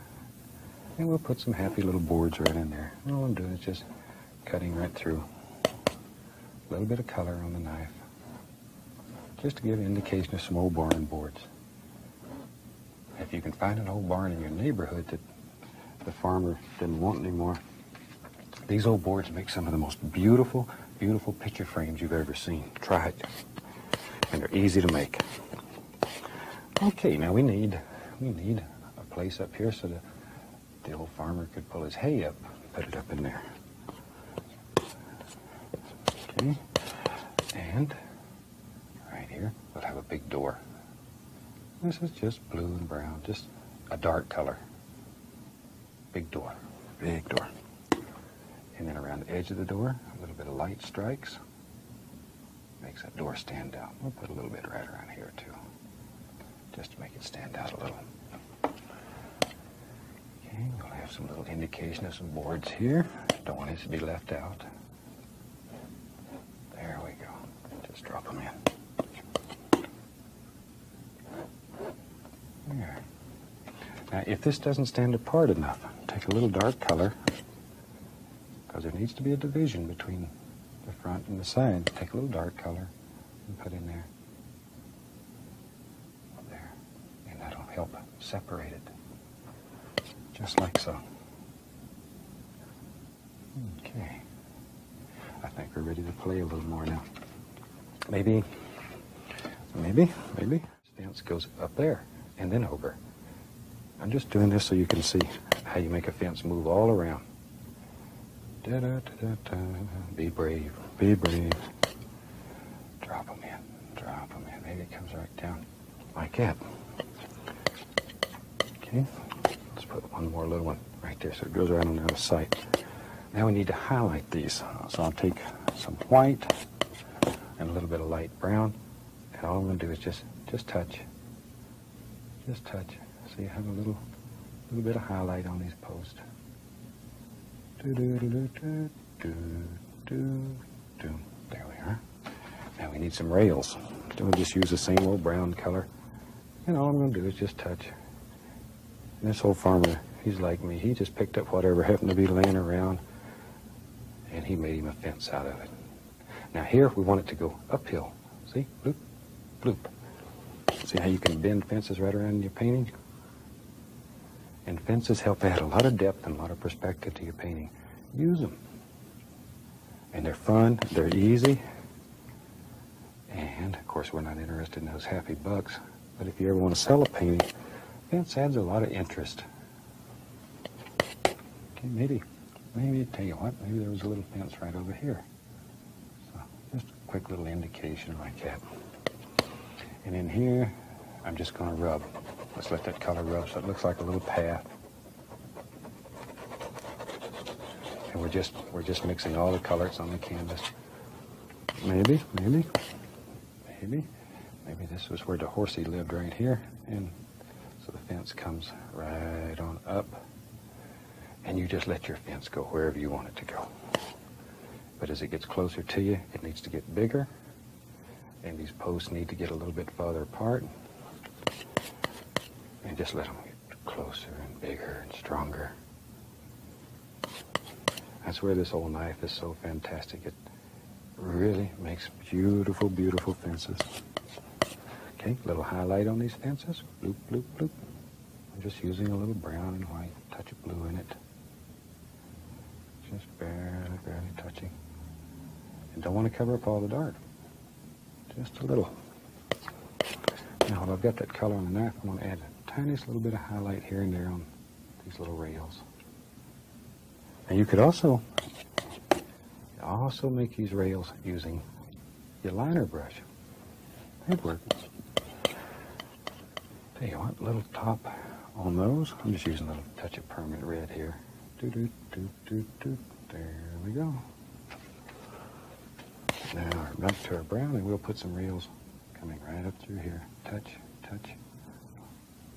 and we'll put some happy little boards right in there. all I'm doing is just cutting right through. A little bit of color on the knife just to give indication of some old barn boards. If you can find an old barn in your neighborhood that the farmer didn't want anymore, these old boards make some of the most beautiful, beautiful picture frames you've ever seen. Try it and they're easy to make. Okay, now we need we need a place up here so that the old farmer could pull his hay up, put it up in there. Okay, and right here we'll have a big door. This is just blue and brown, just a dark color. Big door, big door. And then around the edge of the door, a little bit of light strikes. Makes that door stand out. We'll put a little bit right around here too, just to make it stand out a little. Okay, we'll have some little indication of some boards here. Don't want these to be left out. There we go. Just drop them in. There. Now, if this doesn't stand apart enough, take a little dark color because there needs to be a division between the front and the side. Take a little dark color and put in there. There. And that'll help separate it. Just like so. Okay. I think we're ready to play a little more now. Maybe, maybe, maybe Fence goes up there and then over. I'm just doing this so you can see how you make a fence move all around. Da -da -da be brave, be brave. Drop them in, drop them in. Maybe it comes right down like that. Okay, let's put one more little one right there so it goes right on out of sight. Now we need to highlight these. So I'll take some white and a little bit of light brown and all I'm going to do is just, just touch. Just touch. So you have a little, little bit of highlight on these posts. Do, do, do, do, do, do, do. There we are. Now we need some rails. So we'll just use the same old brown color. And all I'm going to do is just touch. And this old farmer, he's like me. He just picked up whatever happened to be laying around and he made him a fence out of it. Now here, if we want it to go uphill. See? Bloop, bloop. See how you can bend fences right around in your painting? And fences help add a lot of depth and a lot of perspective to your painting. Use them. And they're fun, they're easy, and of course we're not interested in those happy bucks. But if you ever want to sell a painting, fence adds a lot of interest. Okay, maybe, maybe, tell you what, maybe there was a little fence right over here. So just a quick little indication like that. And in here, I'm just gonna rub. Let's let that color rub so it looks like a little path. And we're just, we're just mixing all the colors on the canvas. Maybe, maybe, maybe, maybe this was where the horsey lived right here. And so the fence comes right on up, and you just let your fence go wherever you want it to go. But as it gets closer to you, it needs to get bigger, and these posts need to get a little bit farther apart. And just let them get closer and bigger and stronger. That's where this old knife is so fantastic. It, really makes beautiful, beautiful fences. Okay, little highlight on these fences. Bloop, bloop, bloop. just using a little brown and white, touch of blue in it. Just barely, barely touching. And don't want to cover up all the dark. Just a little. Now while I've got that color on the knife, I'm going to add a tiniest little bit of highlight here and there on these little rails. And you could also also make these rails using your liner brush. They'd work. Tell you what, little top on those. I'm just using a little touch of permanent red here. Do do do do do. There we go. Now back to our brown, and we'll put some rails coming right up through here. Touch, touch,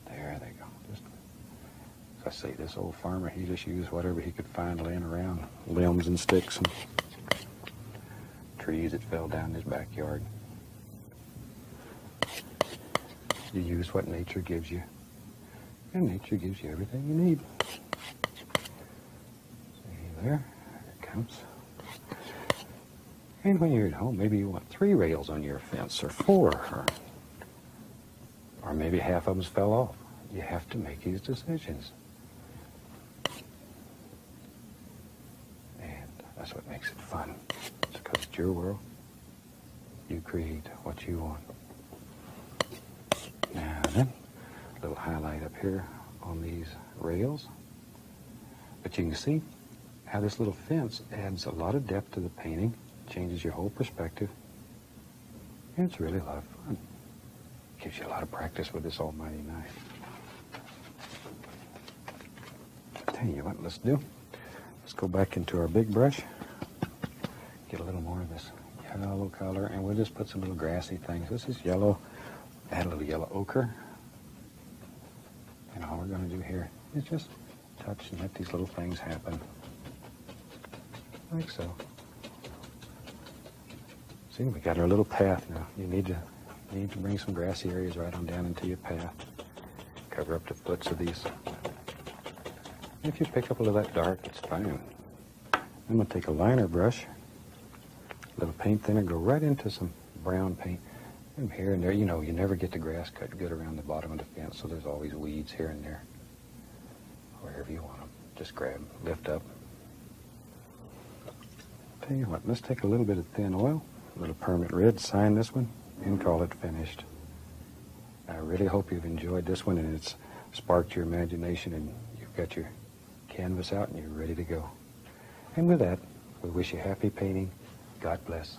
there they go. I see this old farmer, he just used whatever he could find laying around, limbs and sticks and trees that fell down in his backyard. You use what nature gives you, and nature gives you everything you need. See there, there it comes. And when you're at home, maybe you want three rails on your fence, or four, or maybe half of them fell off. You have to make these decisions. And that's what makes it fun. It's because it's your world. You create what you want. Now then, a little highlight up here on these rails. But you can see how this little fence adds a lot of depth to the painting, changes your whole perspective, it's really a lot of fun. Gives you a lot of practice with this almighty knife. I tell you what, let's do. Let's go back into our big brush. Get a little more of this yellow color, and we'll just put some little grassy things. This is yellow. Add a little yellow ochre. And all we're going to do here is just touch and let these little things happen. Like so. See, we got our little path now. You need to need to bring some grassy areas right on down into your path. Cover up the foots of these. If you pick up a little bit dark, it's fine. I'm gonna take a liner brush, a little paint thinner, go right into some brown paint. And here and there, you know, you never get the grass cut good around the bottom of the fence, so there's always weeds here and there wherever you want them. Just grab, lift up. Tell you what, let's take a little bit of thin oil, a little permit red, sign this one, and call it finished. I really hope you've enjoyed this one and it's sparked your imagination and you've got your canvas out and you're ready to go. And with that, we wish you happy painting. God bless.